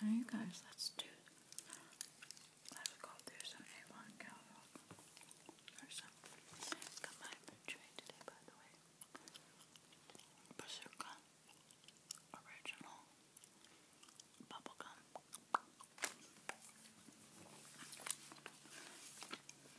Hey guys, let's do let's go through some Avon catalog or something. Got my portrait today by the way. Bazooka original bubblegum.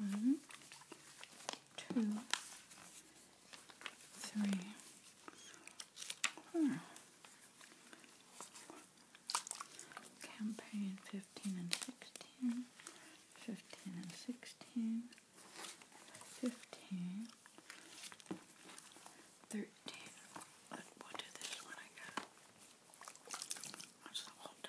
One, two, three. Hmm. Campaign 15 and 16, 15 and 16, 15, 13. What, what this one I got? What's the oldest?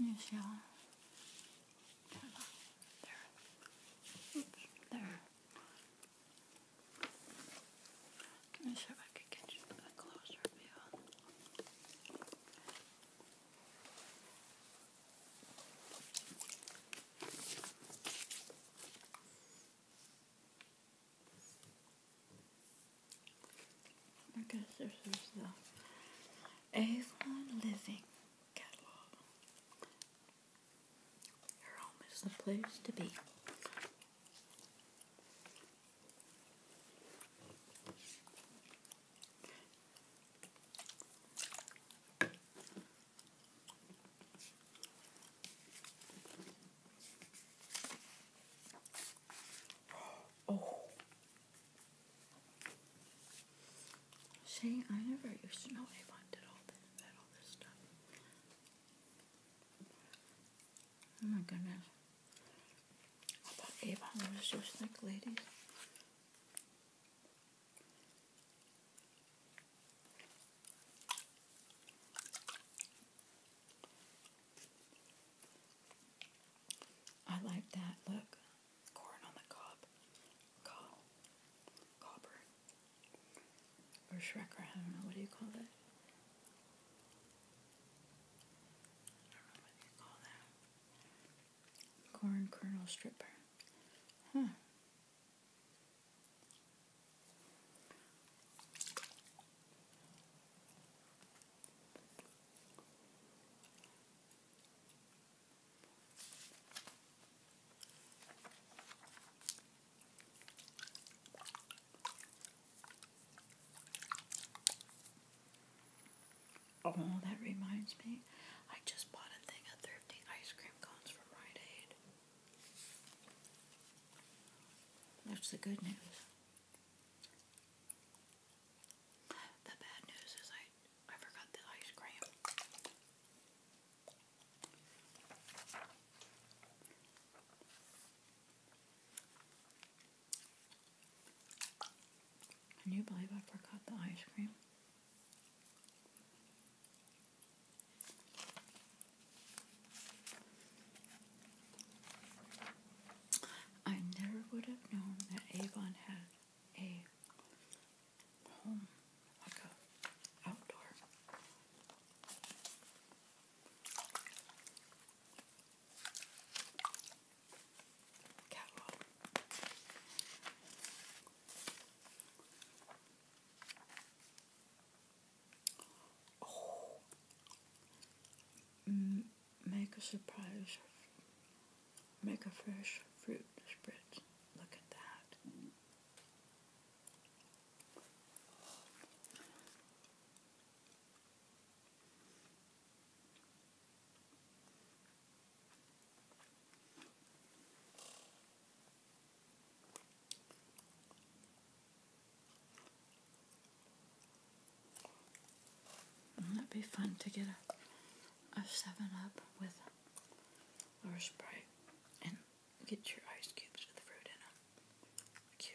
You shall. Uh, there. there. I'm sure if I you a closer view. I guess this is the Avon Living catalog. Your home is the place to be. Oh. See, I never used to know Avon did all this, did all this stuff. Oh my goodness. I thought Avon was just like ladies. I like that. Look, corn on the cob, cob, copper, or shrecker. I don't know what do you call that. I don't know what you call that. Corn kernel stripper. Huh. Oh, that reminds me. I just bought a thing of thrifty ice cream cones from Rite Aid. That's the good news. The bad news is I I forgot the ice cream. Can you believe I forgot the ice cream? I never would have known that Avon had a home outdoor. Catwalk. Mm, make a surprise. Make a fresh fruit spread. Look at that. Wouldn't mm, that be fun to get a, a 7-Up with or Sprite and get your ice cubes with fruit in them? Cute.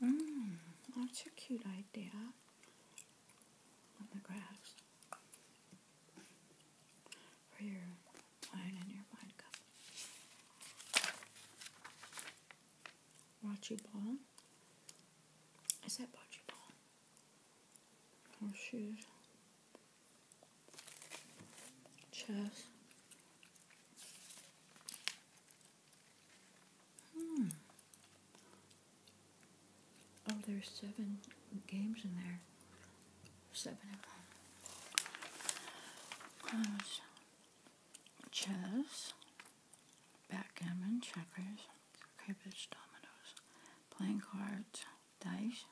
Mmm, that's a cute idea on the grass for your iron in your vodka. Bocce ball. Is that bocce ball? Horseshoes. Oh, Chess. Hmm. Oh, there's seven games in there. Seven of them chess, backgammon, checkers, cribbage, dominoes, playing cards, dice,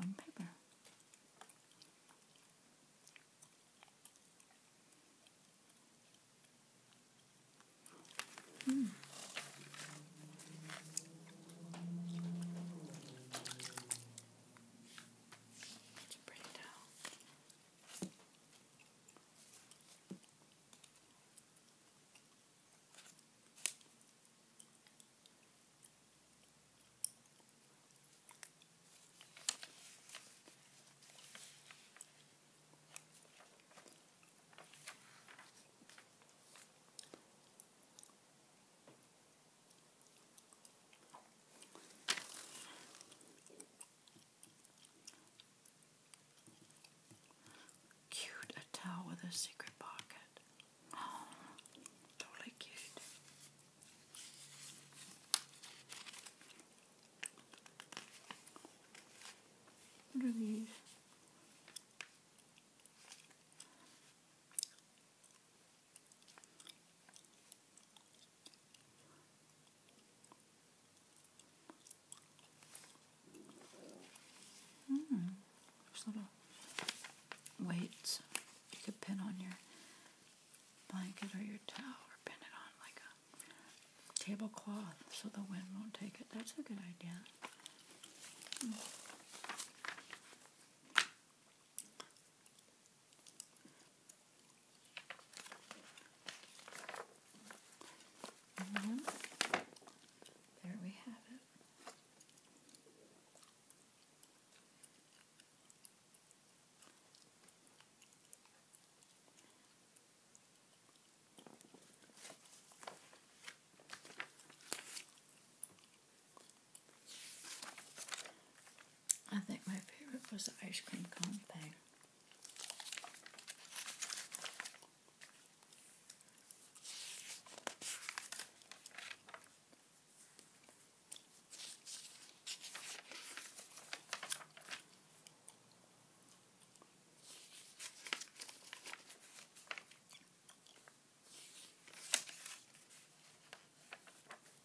and paper. Hmm. It's a pretty towel. Cute, a towel with a secret pocket. Oh, totally cute. What are these? Mm. There's little weights you could pin on your blanket or your towel or pin it on like a tablecloth so the wind won't take it. That's a good idea. Hmm. And mm-hmm. there we have it. I think my favorite was the ice cream cone thing.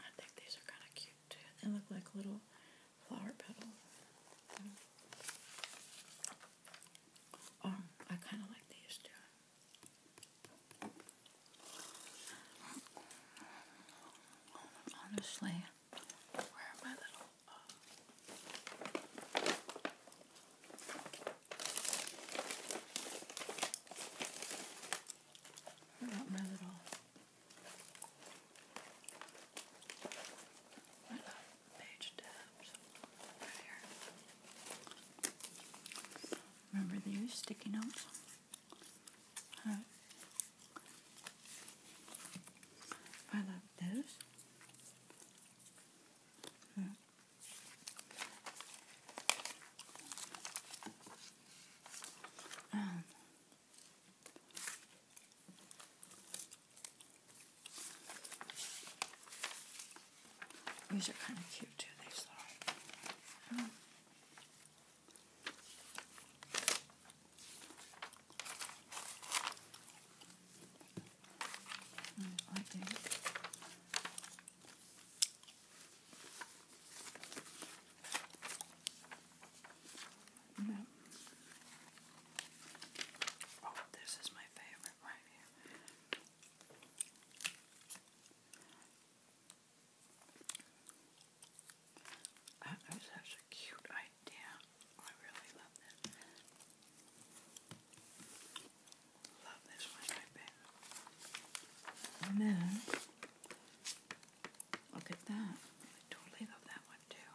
I think these are kind of cute too. They look like little flower petals. Um, I kind of like these too. Honestly, where are my little where are my little my little page tabs right here. Remember those sticky notes? I love this. These are kind of cute too, these little. Um, I think. No. Oh, this is my favorite right here. That is such a cute idea. I really love this. Love this one right there. And then, look at that. I totally love that one too.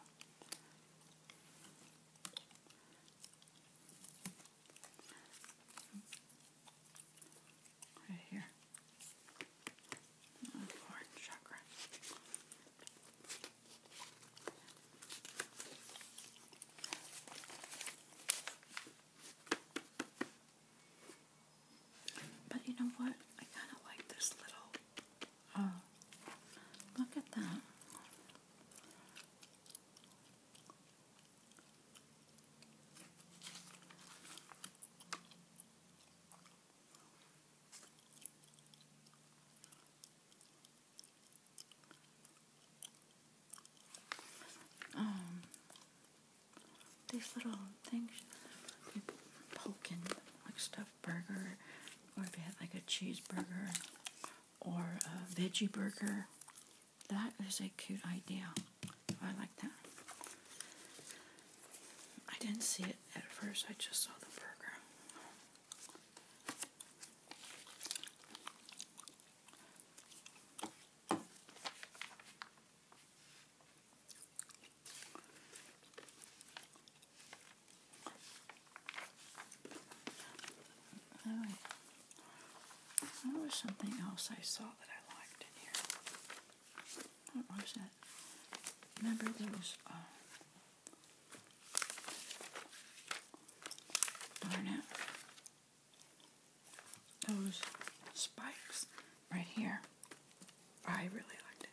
Right here. Fourth chakra. But you know what? I kind of like this little. Oh, look at that. Um, these little things you poke in, like stuffed burger, or if you had like a cheeseburger or a veggie burger, that is a cute idea. I like that. I didn't see it at first, I just saw the burger. All right. There was something else I saw that I liked in here. What was it? Remember those uh, darn it. Those spikes right here. I really liked it.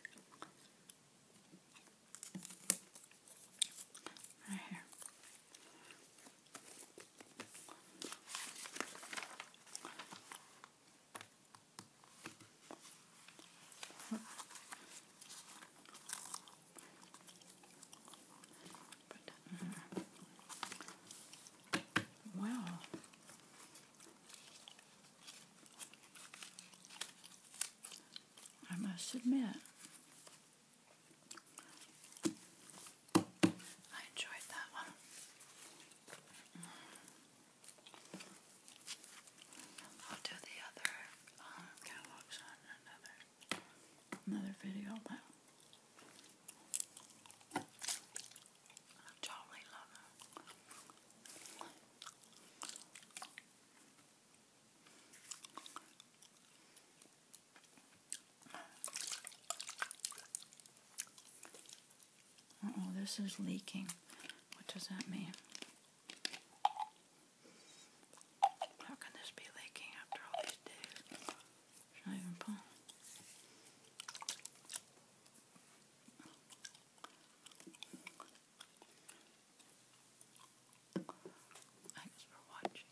Right here well, I must admit, I enjoyed that one. I'll do the other um, another another video, but I totally love them oh, this is leaking. What does that mean? How can this be leaking after all these days? It's not even pull. Thanks for watching.